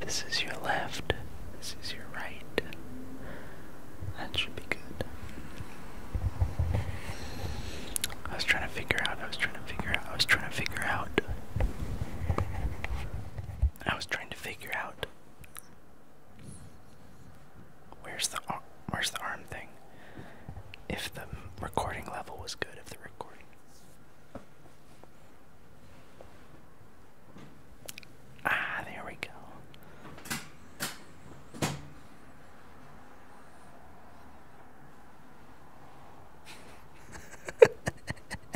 This is your left. This is your right. That should be good. I was trying to figure out. I was trying to figure out. I was trying to figure out. I was trying to figure out where's the where's the arm thing. If the recording level was good, if the recording. Ah, there we go.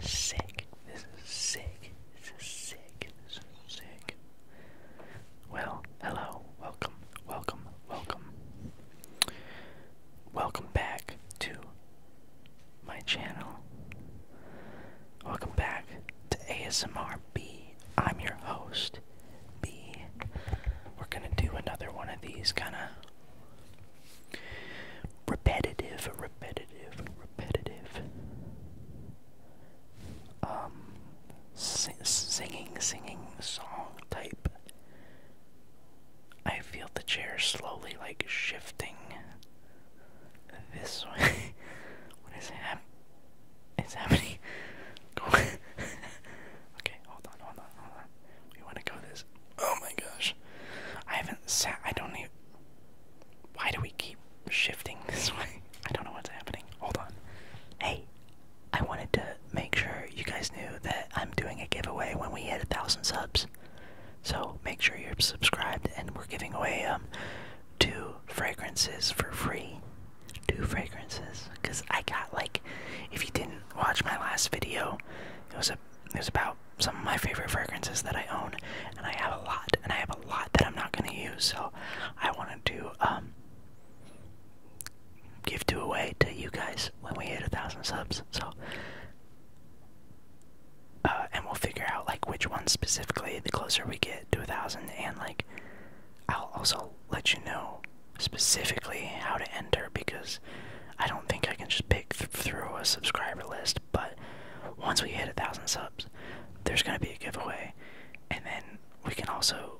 sick. This is sick. This is sick. This is sick. Well, hello. Welcome. Welcome. Welcome. Welcome back to my channel. Welcome back to ASMR B. I'm your host, B. We're gonna do another one of these kind of repetitive, repetitive, repetitive. Um, singing, singing song type. I feel the chair slowly like shifting this way. what is happening? It's happening. okay, hold on, hold on, hold on. We want to go this. Oh my gosh. I haven't sat. I don't even. Why do we keep shifting this way? I don't know what's happening. Hold on. Hey, I wanted to make sure you guys knew that I'm doing a giveaway when we hit a thousand subs. So make sure you're subscribed, and we're giving away um two fragrances for free. Two fragrances, cause I got like, if you didn't watch my last video, it was a a about some of my favorite fragrances that I own, and I have a lot, and I have a lot that I'm not going to use, so I want to do um, give two away to you guys when we hit a thousand subs. So, uh, and we'll figure out like which ones specifically the closer we get to a thousand, and like I'll also let you know specifically how to enter because I don't think I can just pick through a subscriber list. But once we hit a thousand subs, there's gonna be a giveaway, and then we can also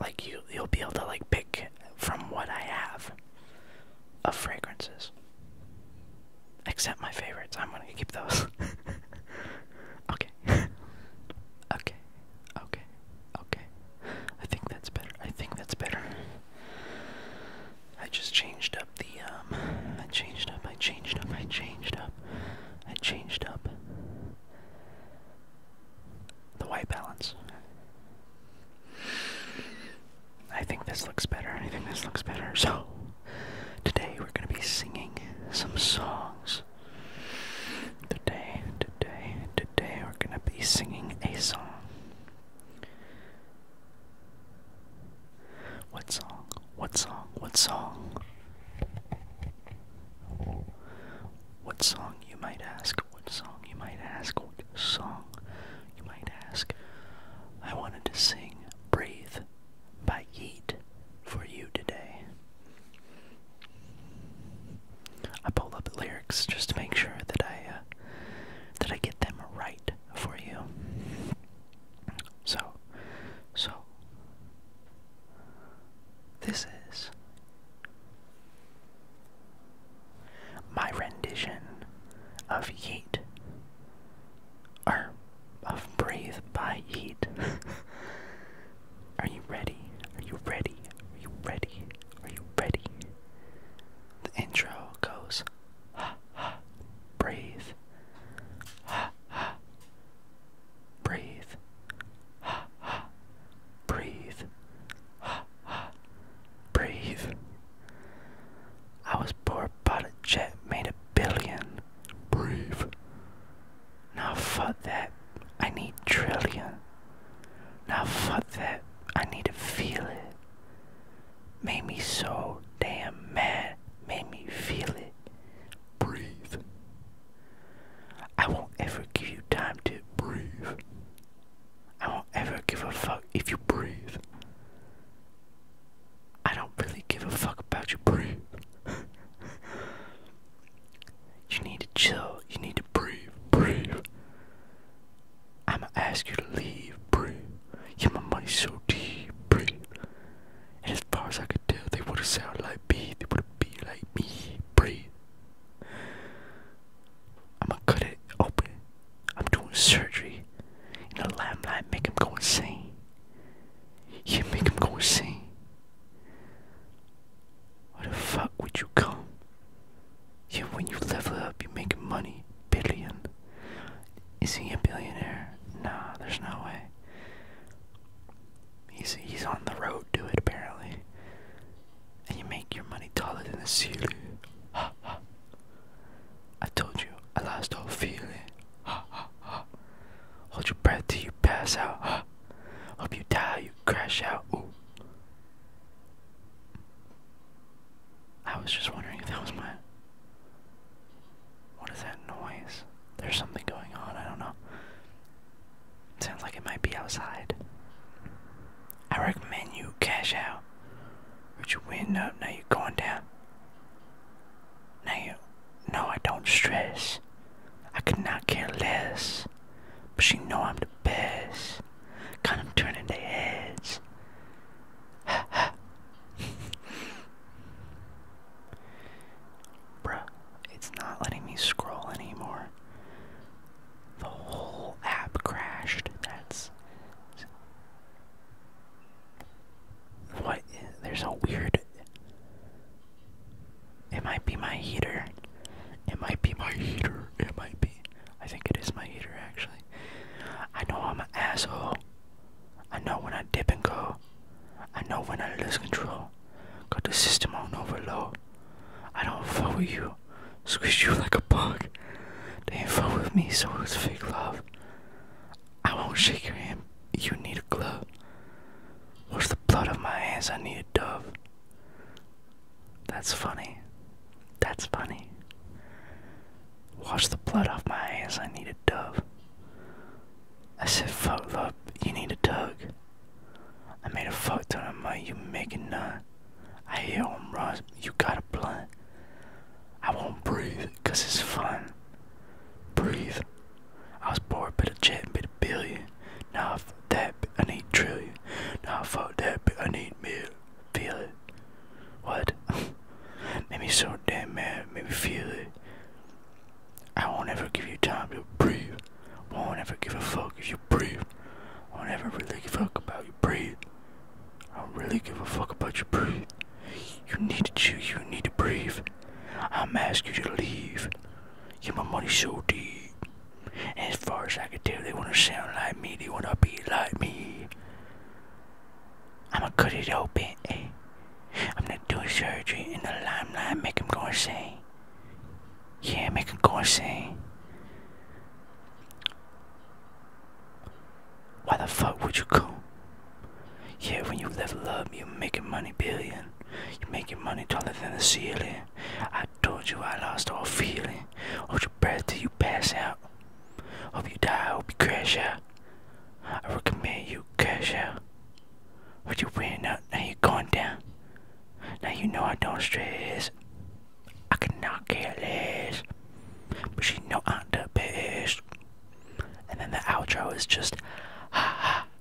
like you you'll be able to like pick from what I have of fragrances. Except my favorites, I'm gonna keep those. okay. okay. Okay. Okay. I think that's better. I think that's better. I just changed up the um, I changed up, I changed up, I changed up, I changed up the white balance. I think this looks better. I think this looks better. So today we're gonna be singing some songs. Today, today, today we're gonna be singing a song. What song? What song? What song? What song you might ask? What song you might ask? What song you might ask? I wanted to sing Breathe by Yeet for you today. I pull up the lyrics just to make sure that I uh, that I get them right for you. So, so this is my rendition of Yeet, or of Breathe by Yeet. Are you ready? Are you ready? Are you ready? Are you ready? The intro goes ha ha, breathe, ha ha, breathe, ha ha, breathe, ha ha, breathe. I was bored, but a jet made a billion. Breathe. Now fuck that. I need trillion. Now fuck that. I need to feel it. Made me so damn mad. Made me feel it. Breathe. I won't ever give you time to breathe. I won't ever give a fuck if you breathe. I don't really give a fuck about you, breathe. You need to chill. You need to breathe. Breathe. I'ma ask you to leave. Breathe. Yeah, my money's so deep. Breathe. And as far as I could tell, they would've sounded like me. They would've be like me. Breathe. I'ma cut it open. I'm doing surgery. in the limelight make him go insane. Yeah, make him go insane. What the fuck would you come? Yeah, when you level up, you make money. Billion. Is he a billionaire? Nah, there's no way. He's he's on the road to it apparently. And you make your money taller than the ceiling. Ha ha. I told you, I lost all feeling. Ha ha ha. Hold your breath till you pass out. Hope you die, you crash out. I was just wondering if that was my. What is that noise? There's something going on, I don't know. sounds like it might be outside. I recommend you cash out. Put your wind up, now you're going down. Now you. No, I don't stress. I could not care less. But she know I'm the best. kind of turning the heads. Ha ha. Bruh, it's not letting me scroll anymore. The whole app crashed. That's. What? There's a weird. It might be my heater. It might be my heater. It might be. I think it is my heater, actually. I know I'm an asshole. I know when I dip and go. I know when I lose control. Got the system on overload. I don't fuck with you. Squeeze you like a bug. They ain't fuck with me, so it's fake love. I won't shake your hand. You need a glove. Where's the blood of my hands. I need a dove. That's funny. That's funny. Wash the blood off my hands, I need a dove. I said, fuck love, you need a tug. I made a fuck ton of money, you making none. I hear home runs, you got a blunt. I won't breathe, cause it's fun. Breathe. I was bored, but a jet, but need a billion. Nah, fuck that, I need trillion. Nah, fuck that, I need me, Feel it. What? Make me so damn mad, Make me feel it. I won't ever give you time to breathe. Won't ever give a fuck if you breathe. Won't ever really give a fuck about your breathe. I don't really give a fuck about your breathe. You need to chew, you need to breathe. I'm asking you to leave. Yeah, my money so deep. As far as I can tell, they want to sound like me, they want to be like me. I'ma cut it open, eh? I'm gonna do surgery in the limelight, make him go insane. Yeah, make him go insane. Why the fuck would you come? Yeah, when you level up, you're making money billion. You're making money taller than the ceiling. I told you I lost all feeling. Hold your breath till you pass out. Hope you die, hope you crash out. I recommend you crash out. What you win up, now you're going down. Now you know I don't stress. I cannot care less. But she's not I'm the And then the outro is just ha ha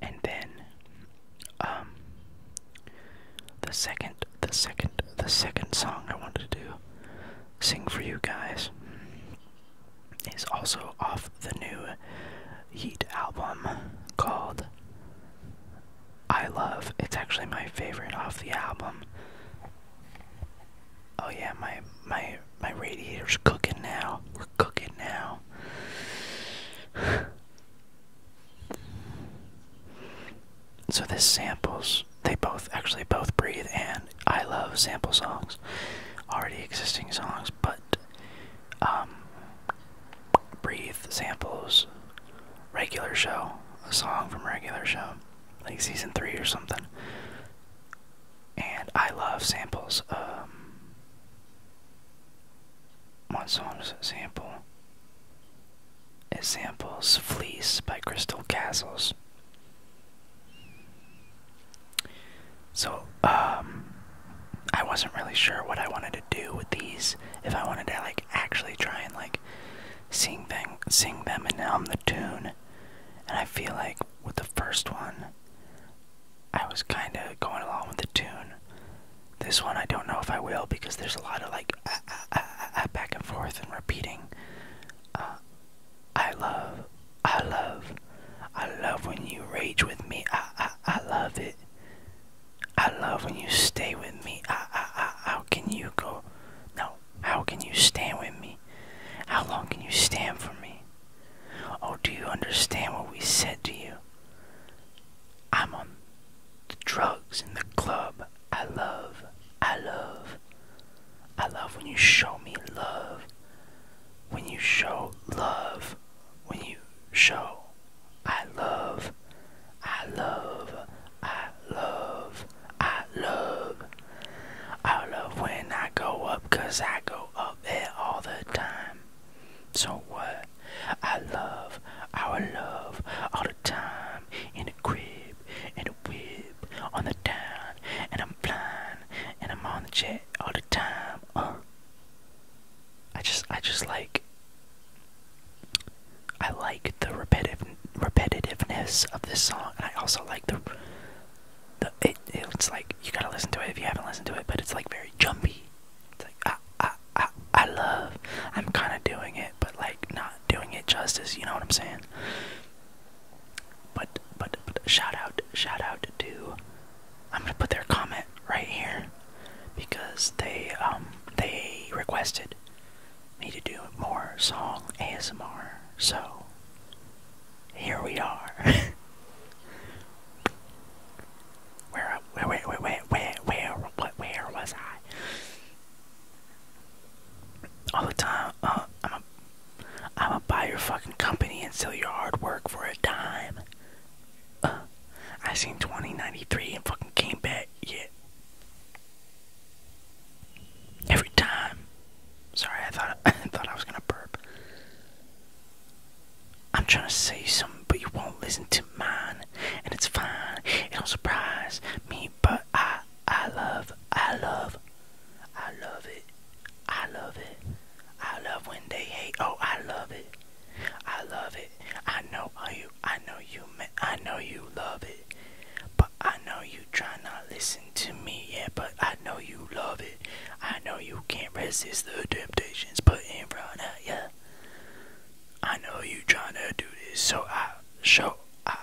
And then um the second the second the second song I wanted to do sing for you guys is also off the new Heat album called I love. It's actually my favorite off the album. Oh yeah, my my my radiator's cooking now. We're cooking now. so this samples they both actually both breathe and I love sample songs. Already existing songs, but um breathe samples regular show, a song from regular show, like season three or something. And I love samples. Um, what song is it? samples "Fleece" by Crystal Castles. So, um, I wasn't really sure what I wanted to do with these. If I wanted to like actually try and like Sing, seeing them, and now I'm the tune. And I feel like with the first one, I was kind of going along with the tune. This one, I don't know if I will because there's a lot of like ah, ah, ah, ah, back and forth and repeating. Uh, I love, I love, I love when you rage with me. I, I, I love it. I love when you stay with me. I, I, I, how can you go? No, how can you stand with me? How long can you stand for me? Oh, do you understand what we said to you? I'm on the drugs in the club. I love, I love, I love when you show me love. When you show love, when you show I love, I love, I love, I love. I love when I go up, cause I go up there all the time. So what? I love, I love all the time. In the crib, and the whip, on the down, and I'm flying and I'm on the jet all the time. Uh. I just I just like I like the repetitive repetitiveness of this song, and I also like the the it, it's like you gotta listen to it if you haven't listened to it, but it's like very jumpy. It's like I I I, I love. I'm kind of doing it, but like not doing it justice. You know what I'm saying? But but but shout out shout out to. I'm gonna put their comment right here because they um they requested me to do more song ASMR. So here we are. where where where where where where where what where was I? All the time, uh, I'm a, I'm a buy your fucking company and sell your hard work for a dime. I seen 2093 and fucking came back. Yeah. Every time. Sorry, I thought I thought I was gonna burp. I'm trying say something, but you won't listen to mine, and it's fine. It don't surprise me, but I I love I love I love it. I love it. I love when they hate. Oh, I love it. I love it. I know you I know you, I know you love it, but I know you try not listen to me. Yeah, but I know you love it. I know you can't resist the temptations put in front of ya. I know you trying to do this, so I show, I,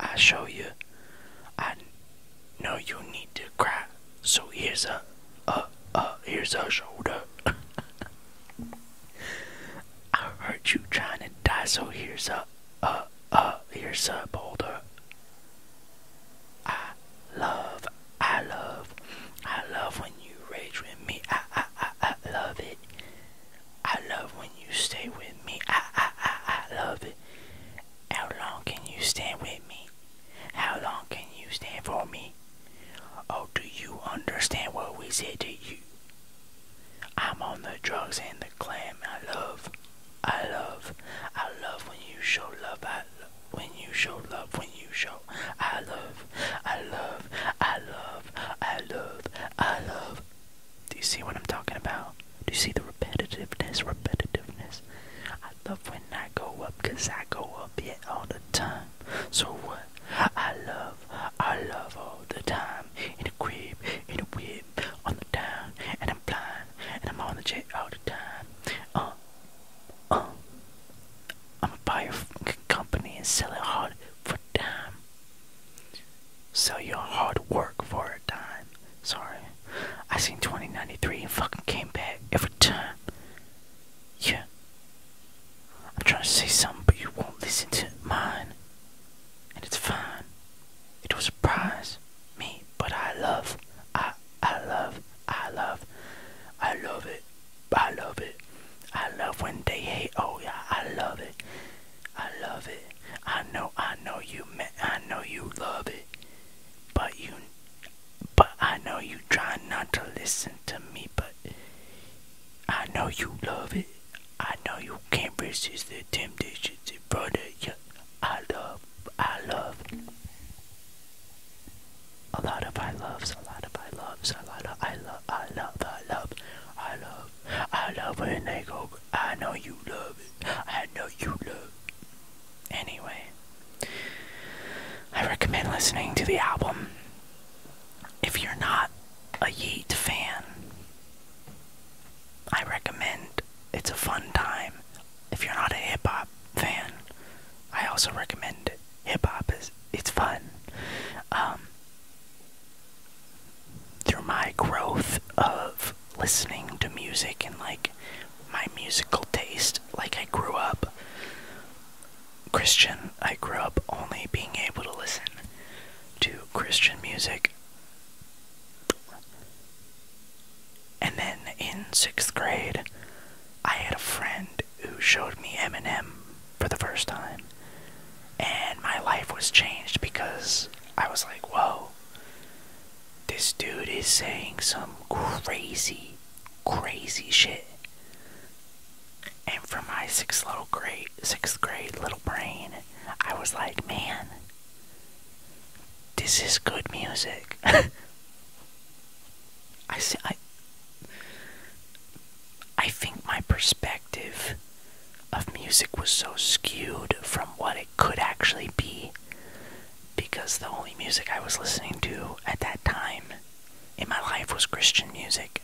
I show you. I know you need to cry, so here's a, a, a, here's a shoulder. I heard you trying to die, so here's a, uh, uh, here's a boulder. I love, I love, I love when you rage with me. I, I, I, I love it. I love when you stay with me. I, I, I, I love it. How long can you stand with me? How long can you stand for me? Oh, do you understand what we said to you? I'm on the drugs and the clam. I love, I love, I love when you show love. I love when you show love. When you show, I love, I love, I love, I love, I love. Do you see what I'm talking about? Do you see the repetitiveness? Repetitiveness. I love when I go up, cause I go up yet yeah, all the time. So what? I love, I love all the time. In the crib, in the whip, on the town, and I'm blind, and I'm on the jet all the time. Uh, uh, I'm a fucking company and sell it hard for time. Sell your hard work for a dime. Sorry. I seen 2093 and fucking came back every time. Yeah. I'm trying to say something, but you won't listen to mine. And it's fine. It will surprise me, but I love, I, I love, I love, I love it, I love it. I love when they hate, oh yeah, I love it, I love it. I know, I know you, I know you love it, but you, but I know you try not to listen to me, but I know you love it. I know you can't resist the temptation to brother. Yeah, I love, I love. A lot of I loves, a lot of I loves, a lot of I love, I love, I love, I love, I love when they go. I know you love it. I know you love. It. Anyway. I recommend listening to the album if you're not a Yeet fan. I recommend it's a fun time. If you're not a hip hop fan, I also recommend Hip hop it's fun. Um, through my growth of listening to music and like my musical taste, like I grew up Christian. I grew up only being able to listen to Christian music. And then in sixth grade, I had a friend who showed me Eminem for the first time. And my life was changed because I was like, whoa, this dude is saying some crazy crazy shit. And for my sixth little grade, sixth grade little brain, I was like, man, this is good music. I see. I. I think my perspective of music was so skewed from what it could actually be, because the only music I was listening to at that time in my life was Christian music.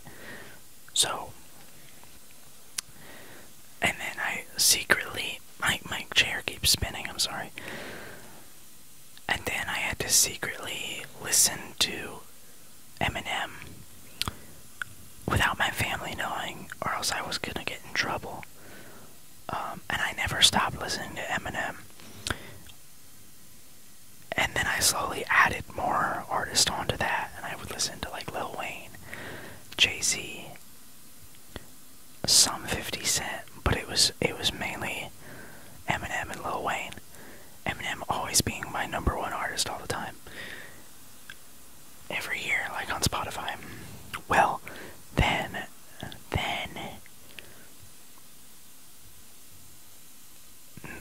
So, and then I secretly, my, my chair keeps spinning, I'm sorry. And then I had to secretly listen to Eminem without my family knowing, or else I was gonna get in trouble. Um, and I never stopped listening to Eminem. And then I slowly added more artists onto that, and I would listen to like Lil Wayne, Jay Z, some 50 Cent, but it was it was mainly Eminem and Lil Wayne. Eminem always being my number one artist all the time. Every year, like on Spotify. Well, then, then,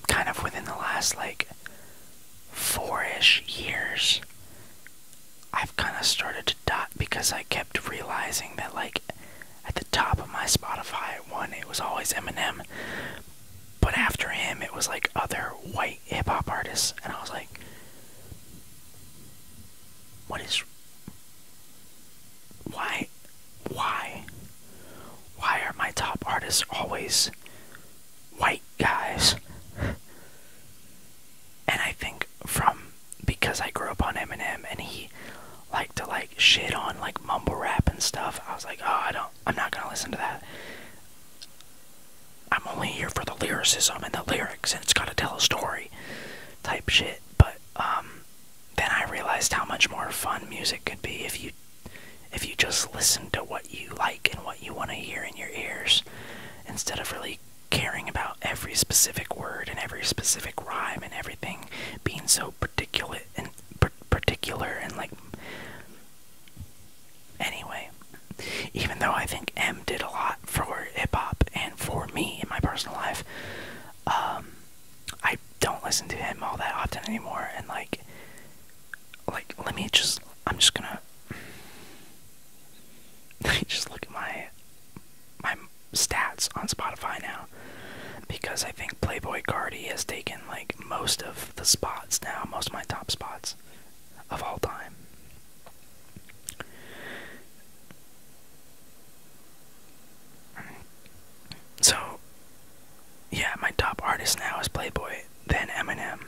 kind of within the last like four ish years, I've kind of started to dot because I kept realizing that, like, at the top of my Spotify, one, it was always Eminem, but after him, it was like other white hip hop artists, and I was like, what is why? Why? Why are my top artists always white guys? And I think from because I grew up on Eminem and he liked to like shit on like mumble rap and stuff, I was like, oh, I don't, I'm not gonna listen to that. I'm only here for the lyricism and the lyrics, and it's gotta tell a story, type shit. But um, then I realized how much more fun music could be if you if you just listen to what you like and what you want to hear in your ears instead of really caring about every specific word and every specific rhyme and everything being so particular and particular and like anyway even though i think m did a lot for hip hop and for me in my personal life um I don't listen to him all that often anymore, and like, like let me just. I'm just gonna. just look at my my stats on Spotify now, because I think Playboy Cardi has taken like most of the spots now, most of my top spots of all time. So, yeah, my top artist now is Playboy, then Eminem.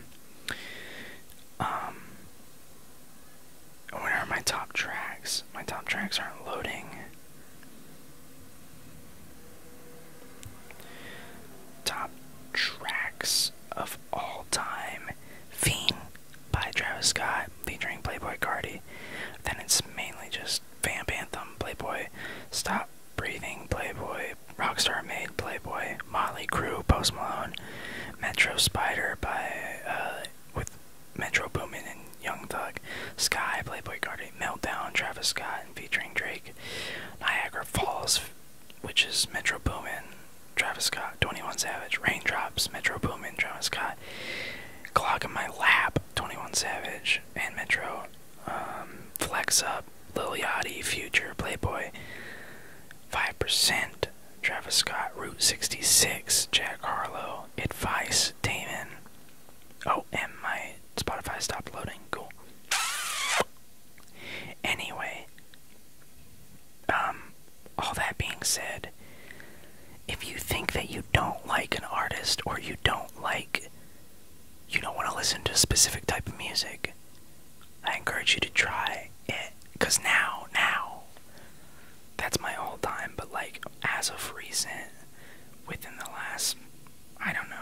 Um, where are my top tracks? My top tracks aren't loading. Top tracks of all time Fiend, by Travis Scott featuring Playboy Cardi. Then it's mainly just Vamp Anthem, Playboy, Stop Breathing, Playboy, Rockstar Made, Playboy, Motley Crew Post Malone, Metro Spider by uh, with Metro Boomin and Young Thug, Sky, Playboy Cardi, Meltdown, Travis Scott and featuring Drake, Niagara Falls, which is Metro Boomin, Travis Scott, 21 Savage, Raindrops, Metro Boomin, Travis Scott, Clock in my lap, 21 Savage, and Metro, um, Flex Up, Lil Yachty, Future, Playboy, 5%, Travis Scott, Route 66, Jack Harlow, Advice, Damon. Oh, and my Spotify stopped loading. Cool. Anyway, um, all that being said, if you think that you don't like an artist or you don't like you don't want to listen to a specific type of music, I encourage you to try it cuz now, now that's my all time, but like as of recent within the last I don't know.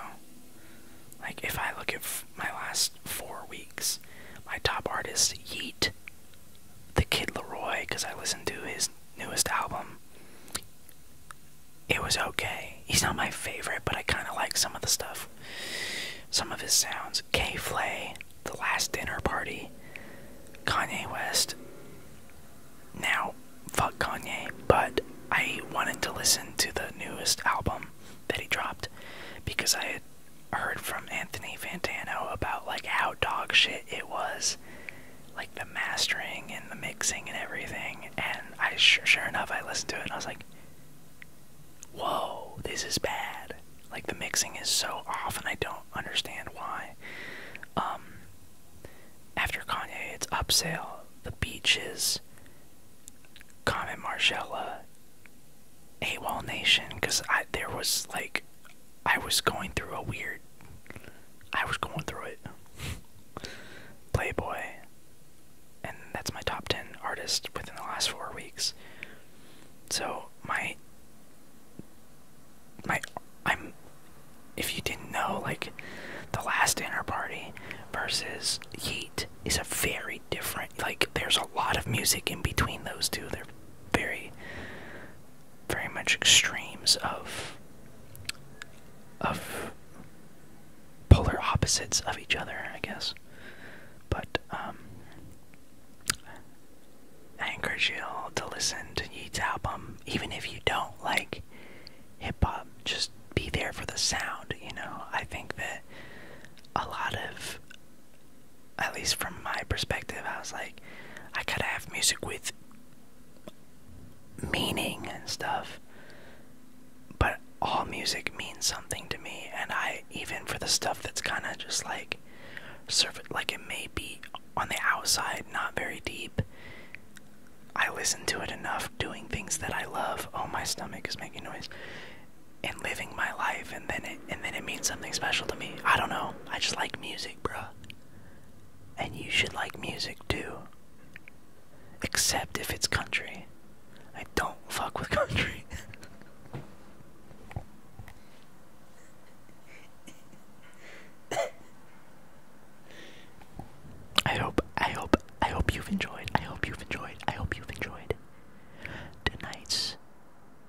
Like if I look at my last 4 weeks, my top artist Yeet the Kid Leroy because I listened to his newest album. It was okay. He's not my favorite, but I kind of like some of the stuff, some of his sounds. K. Flay, The Last Dinner Party, Kanye West. Now, fuck Kanye, but I wanted to listen to the newest album that he dropped because I had heard from Anthony Fantano about like how dog shit it was, like the mastering and the mixing and everything. And I sure, enough, I listened to it and I was like, "Whoa, this is bad." Like the mixing is so off, and I don't understand why. Um, after Kanye, it's Upsale, The Beaches, Common Marcella, AWOL Nation, because I there was like I was going through a weird I was going through it. Playboy. And that's my top 10 artist within the last 4 weeks. So, my my I'm if you didn't know like the last dinner party versus Heat is a very different like there's a lot of music in between those two. They're very very much extremes of of polar opposites of each other, I guess. But um, I encourage you all to listen to Yeats' album, even if you don't like hip hop. Just be there for the sound, you know. I think that a lot of at least from my perspective, I was like, I gotta have music with meaning and stuff. But all music means something to me, and I even for the stuff that's kind of just like, surf like it may be on the outside, not very deep. I listen to it enough, doing things that I love. Oh, my stomach is making noise, and living my life, and then it and then it means something special to me. I don't know. I just like music, bruh. And you should like music too. Except if it's country. I don't fuck with country. I hope, I hope, I hope you've enjoyed. I hope you've enjoyed. I hope you've enjoyed tonight's